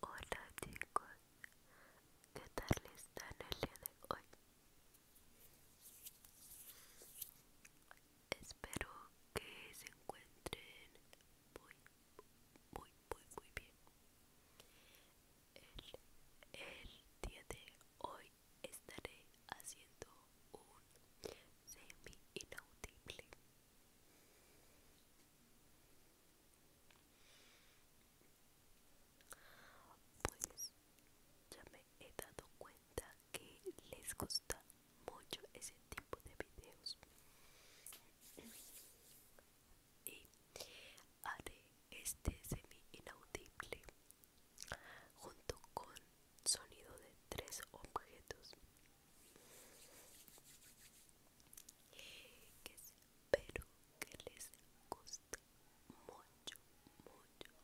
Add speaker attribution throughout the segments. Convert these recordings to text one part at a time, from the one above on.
Speaker 1: Hola chicos, ¿qué tal están el día de hoy? Espero que se encuentren muy, muy, muy, muy bien. el día de hoy estaré haciendo un semi inaudible pues ya me he dado cuenta que les gusta mucho ese tipo de videos y haré este semi inaudible junto con sonido de tres objetos que espero que les guste mucho mucho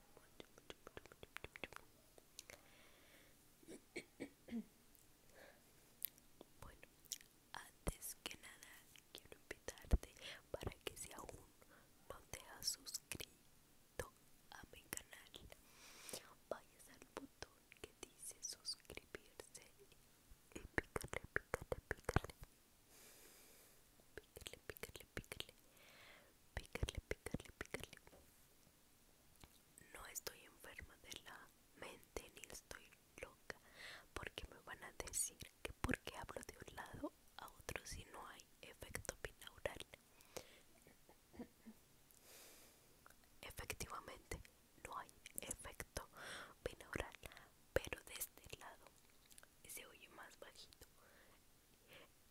Speaker 1: mucho bueno antes que nada quiero invitarte para que si aún no te has a mi canal vayas al botón que dice suscribirse y picarle picarle picarle picarle picarle picarle picarle picarle picarle no estoy enferma de la mente ni estoy loca porque me van a decir que porque hablo de un lado a otro si no hay efecto binaural Efectivamente, no hay efecto binaural, pero de este lado se oye más bajito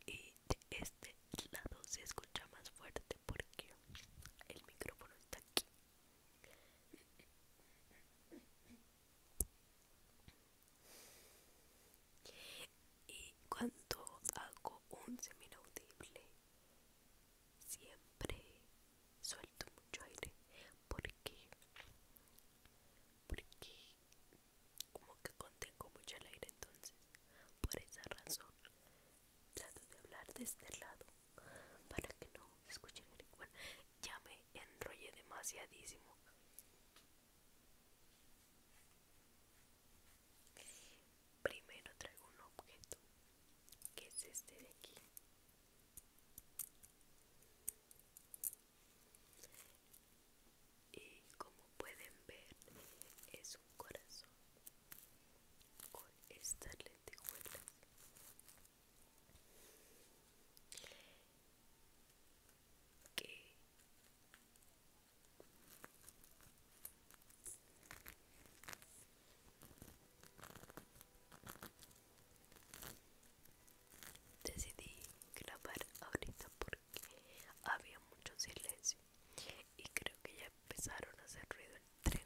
Speaker 1: y de este lado se escucha más fuerte porque el micrófono está aquí. Y cuando hago un seminaudible, siempre suelto mucho aire. porque, Porque como que contengo mucho el aire entonces. Por esa razón, trato de hablar de este lado para que no escuchen el igual. Ya me enrollé demasiadísimo. Primero traigo un objeto, que es este de aquí. Y como pueden ver, es un corazón con estas lentejuelas que decidí grabar ahorita porque había mucho silencio y creo que ya empezaron a hacer ruido el tren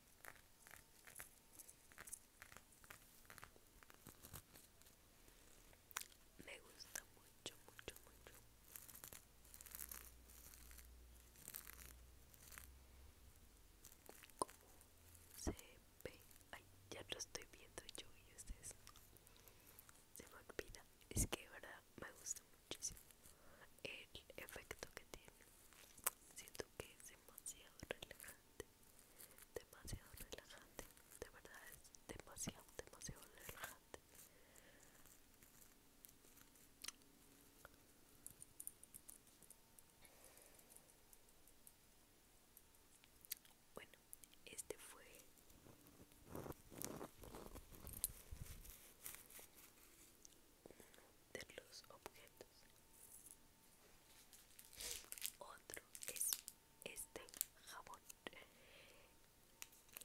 Speaker 1: Me gusta mucho, mucho, mucho. Como se ve. Ay, ya lo estoy viendo yo y ustedes. Se me olvida. Es que de verdad me gusta muchísimo el efecto que tiene siento que es demasiado relajante demasiado relajante de verdad es demasiado demasiado relajante bueno este fue de los objetos. Otro es este jabón.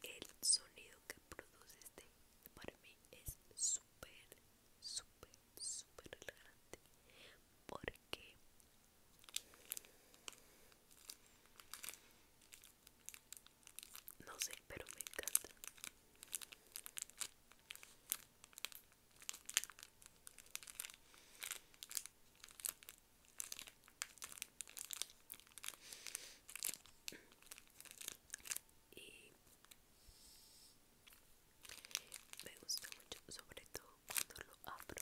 Speaker 1: El sonido que produce este para mí es súper, súper, súper relajante. Porque no sé, pero me encanta. Y me gusta mucho, sobre todo cuando lo abro.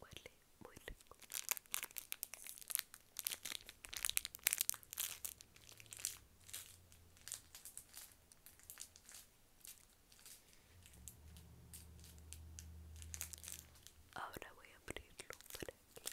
Speaker 1: Huele muy rico. Ahora voy a abrirlo para que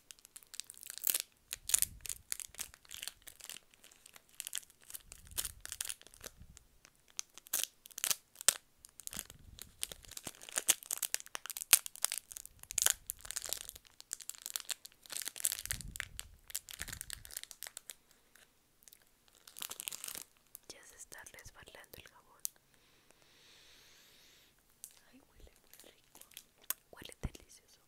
Speaker 1: Ya se está resbalando el jabón. Ay, huele muy rico. Huele delicioso.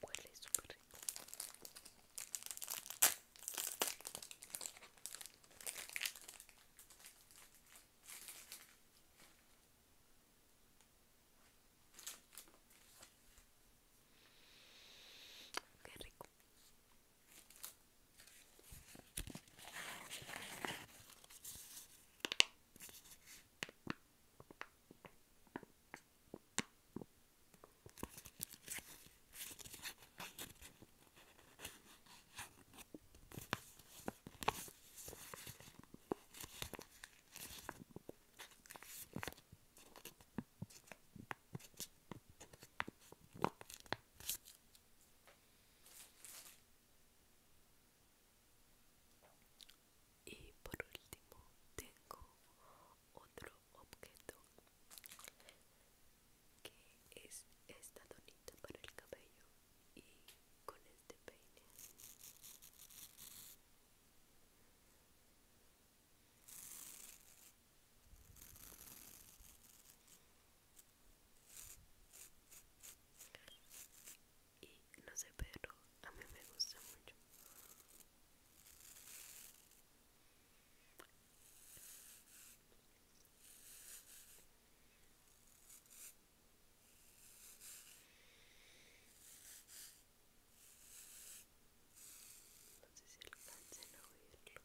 Speaker 1: Huele súper rico. Qué rico. Y por último tengo otro objeto que es esta tonita para el cabello y con este peine y no sé, pero a mí me gusta mucho. No sé si alcancen a oírlo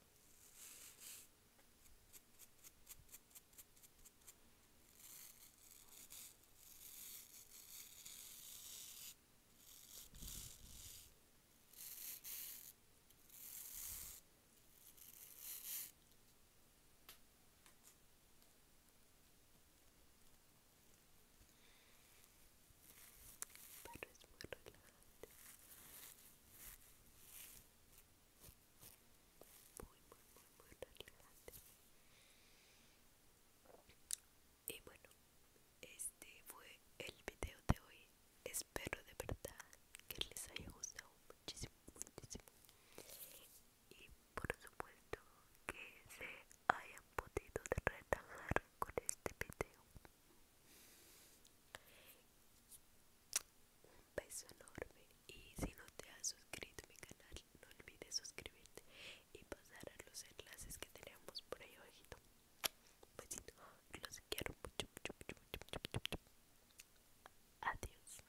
Speaker 1: pero es muy relajante muy muy muy muy relajante y bueno este fue el video de hoy espero de verdad que les haya gustado muchísimo muchísimo y por supuesto que se hayan podido relajar con este video. Un beso enorme y si no te has suscrito a mi canal no olvides suscribirte y pasar a los enlaces que tenemos por ahí abajito. Besito, los quiero mucho, mucho, mucho. Adiós.